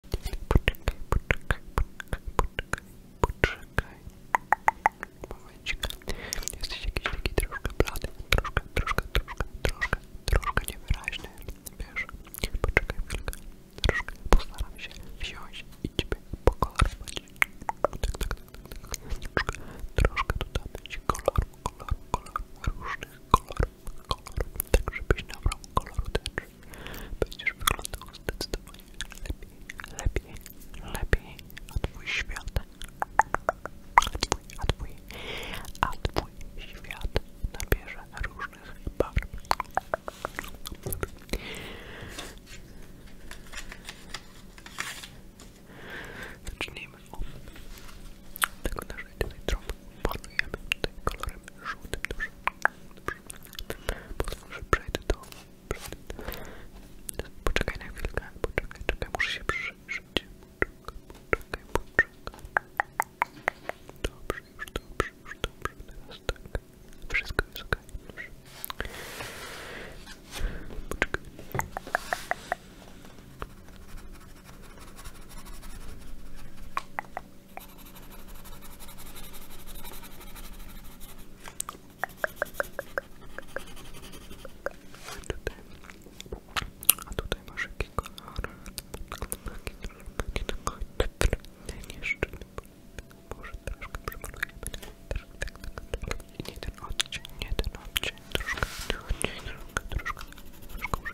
Poczekaj, poczekaj, poczekaj, poczekaj, poczekaj. Momencik. Jesteś jakiś taki troszkę blady, troszkę, troszkę, troszkę, troszkę, troszkę niewyraźny. Wiesz, poczekaj chwilkę. Troszkę postaram się wziąć i ciebie pokolorować. Tak, tak, tak, tak. Troszkę, troszkę dodamy ci koloru, koloru, koloru, różnych kolorów koloru, tak żebyś nabrał koloru też. Będziesz wyglądał zdecydowanie lepiej, lepiej, lepiej, a twój świat, a twój, a twój, a twój świat nabierze różnych barw. Zacznijmy od tego naszej jedynie trąbki. Panujemy tutaj kolorem żółtym dużym. Dobrze, przejdę do... Przejdę. Poczekaj na chwilkę, poczekaj, czekaj, muszę się przyjrzeć. Poczekaj, poczekaj, poczekaj. Dobrze, już dobrze, już dobrze, teraz tak. Wszystko jest ok, dobrze. Poczekaj. Tutaj. A tutaj masz jaki kolor? Ten jeszcze. Może troszkę przemalujemy. I nie ten odcień, nie ten odcień. Troszkę, nie, troszkę, troszkę. Troszkę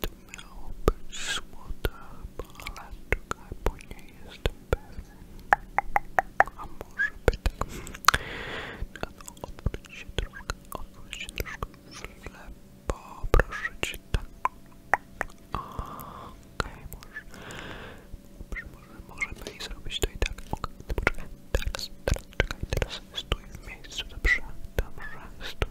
to miało być złota palaczka, bo nie jestem pewien. A może być, tak. No, no odwróć się troszkę, odwróć się troszkę w lewo, proszę cię, tak. Okej, okay, może. Dobrze, może, możemy i zrobić to i tak. Okej, poczekaj, teraz, teraz, czekaj, teraz stój w miejscu, dobrze, dobrze, stój,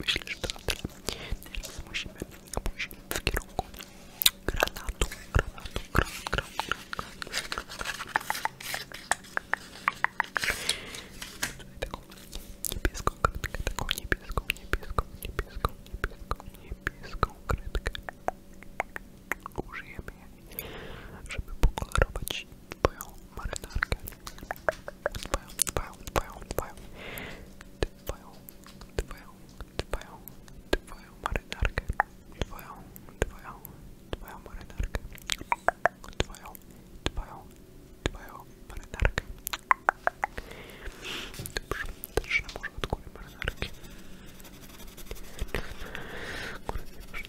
Myślę, że to na tyle. Teraz musimy pójść w kierunku granatu, granatu, granatu, granatu, granatu, granatu. Niebieską kredkę, taką niebieską, niebieską, niebieską, niebieską, niebieską kredkę. Użyjemy jej, żeby pokolorować twoją marynarkę. Dbają, dbają, dbają, dbają. Dbają, dbają, dbają, dbają marynarkę. Dbają, dbają, dbają marynarkę. Dbają, dbają, dbają marynarkę. Dobrze, zacznę może od góry marynarki. Góry nie masz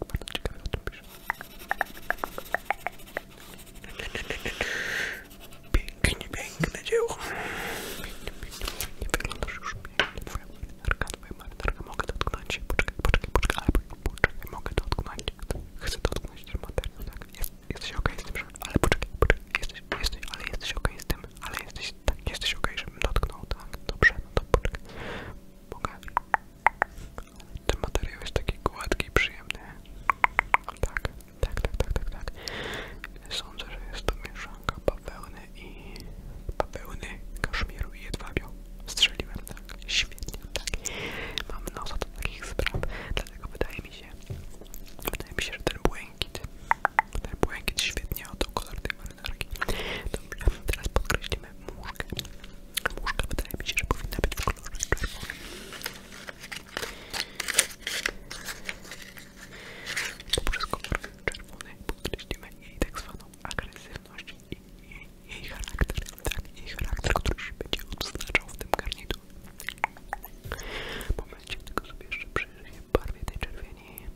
Bardzo ciekawe o tym pisze. Pięknie, piękne dzieło. Pięknie, pięknie, nie, Wyglądasz już pięknie. Twoja marynarka, twoja marynarka. Mogę dotknąć. Poczekaj, poczekaj, poczekaj. Ale poczekaj, mogę dotknąć. Chcę dotknąć ten materiał, tak? Jest, jesteś okej okay z tym, że... Ale poczekaj, poczekaj. Jesteś, jesteś, ale jesteś okej okay z tym. Ale jesteś, tak, jesteś okej, okay, żebym dotknął, tak? Dobrze, no to poczekaj. Mogę... Ten materiał jest taki gładki i przyjemny. Tak, tak, tak, tak, tak, tak. Sądzę, że jest to mieszanka bawełny i bawełny, kaszmiru i jedwabiu. Strzeliłem, tak, świetnie, tak. Mam nosa do takich spraw, dlatego wydaje mi się, wydaje się, że ten błękit, ten błękit świetnie oddał kolor tej marynarki. Dobrze, teraz podkreślimy muszkę. Muszka wydaje mi się, że powinna być w kolorze czerwonym. Poprzez kolor czerwony podkreślimy jej tak zwaną agresywność i jej, jej charakter. Tak, jej charakter, który się będzie odznaczał w tym garniturze. Momencie, tylko sobie jeszcze przyjrzyję barwie tej czerwieni.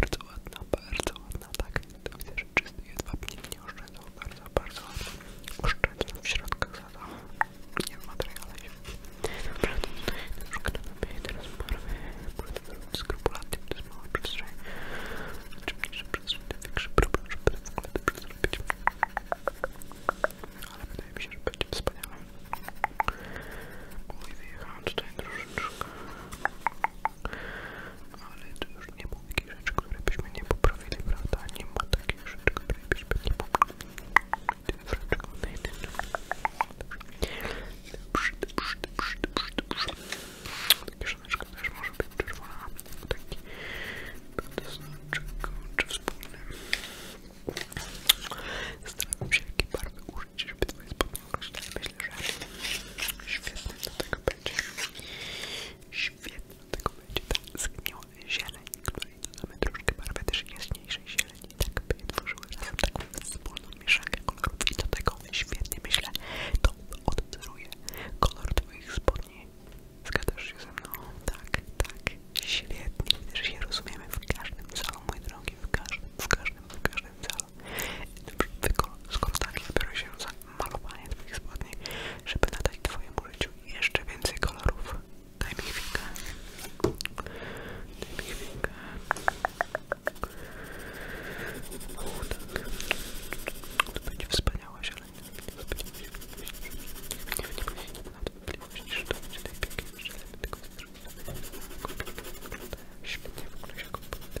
Bardzo ładna, bardzo ładna, tak. To widzę, że czysty jedwab nikt nie oszczędzał bardzo, bardzo oszczędny w środkach zadał. Nie w materiale się. Dobra, to już kanapie, teraz barwy, płyty skrupulatnie, to jest mała przestrzeń. Czym znaczy mniejsza przestrzeń, tym większy problem, żeby w ogóle dobrze zrobić. Ale wydaje mi się, że będzie wspaniale. Oj, wyjechałam tutaj troszeczkę ale to już nie ma takich rzeczy, które byśmy nie poprawili, prawda? Nie ma takich rzeczy, które byśmy nie poprawili. Dobrze, dobrze, dobrze, dobrze, dobrze. Ta kieszoneczka też może być czerwona. Taki znaczek, czy wspólny. Zastanawiam się, jakie barwy użyć, żeby twoje spodnie określać. Myślę, że świetny do tego będzie. Świetnie do tego będzie ta zgniła zieleń, której dodamy troszkę barwy też jaśniejszej zieleni. Tak by tworzyły razem tak wspólną mieszankę kolorów i do tego świetnie myślę to odwzoruje kolor twoich spodni. Zgadzasz się ze mną? Tak, tak. Świetnie. Też się rozumiemy w każdym celu, mój drogi, w każdym, w każdym, w każdym każdym celu. Skorzystanie biorę się za malowanie spodni, żeby nadać twoim życiu jeszcze więcej kolorów. Daj mi chwilkę. Daj mi chwilkę. O, tak. To będzie wspaniała zieleń. Świetnie w ogóle się kompletnie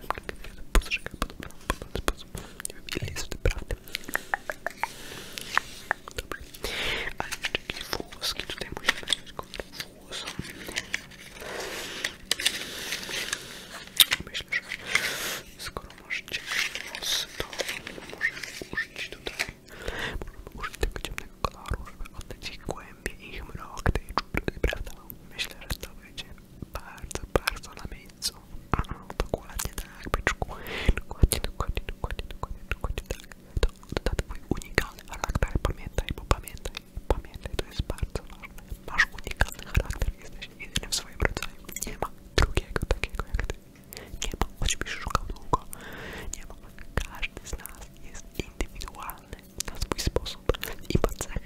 tak postrzegam podobno, podobny sposób. Nie wiem, ile jest w tym prawdy. Dobrze. Ale jeszcze jakieś włoski tutaj musimy wziąć kontakt włosom. Myślę, skoro masz ciemny włos, to możemy użyć tutaj możemy użyć tego ciemnego koloru, żeby oddać głębi ich mrok tej czuprzyny, prawda? Myślę, że to będzie bardzo, bardzo na miejscu. A, dokładnie tak, by byczku. Dokładnie, dokładnie, dokładnie, dokładnie, dokładnie tak. To, to, to twój unikalny charakter, pamiętaj, bo pamiętaj, pamiętaj, to jest bardzo ważne. Masz unikalny charakter, jesteś jedyny w swoim rodzaju. Nie ma drugiego takiego jak ty. Nie ma, choćbyś szukał długo. Nie ma. Każdy z nas jest indywidualny unikalny na swój sposób i ma cechy,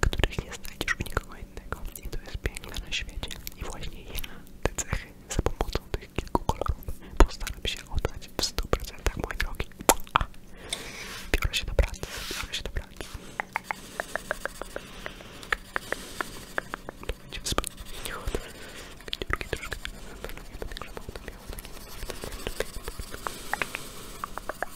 których nie znajdziesz u nikogo innego i to jest piękne na świecie i właśnie ja te cechy za pomocą tych kilku kolorów postaram się oddać w 100% moje drogi. A, biorę się do pracy, biorę się do pracy. To będzie wspaniałe. Dziurki troszkę. Nie będę grzebał, to miało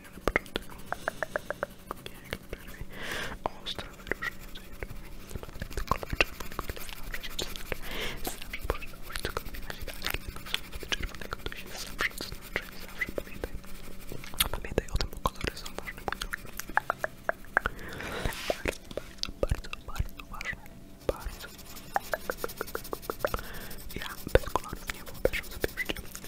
fajny na początek. Jak najbardziej ostre wyróżnienie się Nawet kolor czerwony, który zawsze się znaczy. Zawsze można użyć cokolwiek na niebieski, nawet czerwonego to się zawsze znaczy. Zawsze pamiętaj. Pamiętaj o tym, bo kolory są ważne. Bardzo, bardzo, bardzo ważne. Bardzo. Ja bez kolorów nie wyobrażam sobie życia.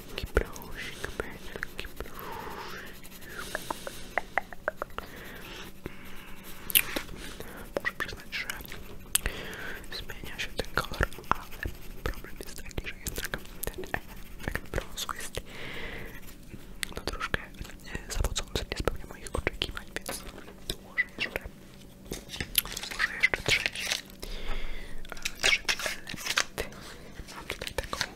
Benelki, brusik, benelki, Muszę przyznać, że zmienia się ten kolor, ale problem jest taki, że jednak ten efekt brązu jest no troszkę e, zawodzący, nie spełnia moich oczekiwań, więc dołożę jeszcze, dołożę jeszcze trzeci, e, trzeci element. Mam tutaj taką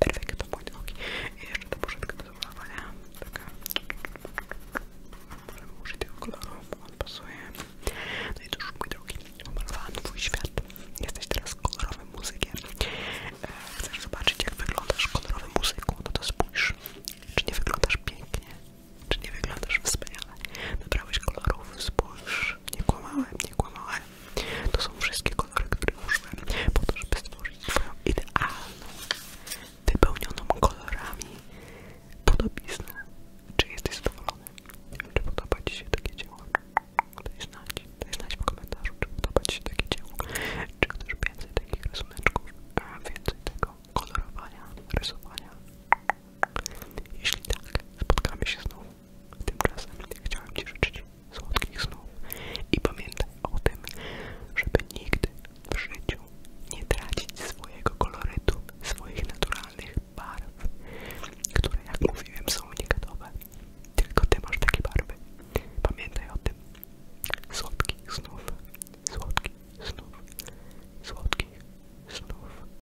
Perfekto, bądź nogi. I jeszcze ta poszedka do zalawania. Taka. Możemy użyć tego koloru, bo on pasuje. No i cóż, mój drogi, pomalowałam twój świat. Jesteś teraz kolorowym muzykiem. E, chcesz zobaczyć, jak wyglądasz kolorowym muzyką? No to spójrz. Czy nie wyglądasz pięknie? Czy nie wyglądasz wspaniale? Wybrałeś kolorów, spójrz, nie kłamałem, nie kłamałem. To są wszystkie kolory, które użyłem po to, żeby stworzyć swoją idealną, wypełnioną kolorami podobiznę. Czy jesteś zadowolony? Czy podoba Ci się takie dzieło? Daj znać, daj znać w komentarzu, czy podoba Ci się takie dzieło. Czy chcesz więcej takich rysuneczków, więcej tego kolorowania, rysowania? Jeśli tak, spotkamy się znowu Tymczasem chciałem Ci życzyć słodkich snów i pamiętaj o tym, żeby nigdy w życiu nie tracić swojego kolorytu, swoich naturalnych barw, które jak mówiłem są unikatowe. Tylko Ty masz takie barwy. Pamiętaj o tym. Słodkich snów, słodkich snów, słodkich snów.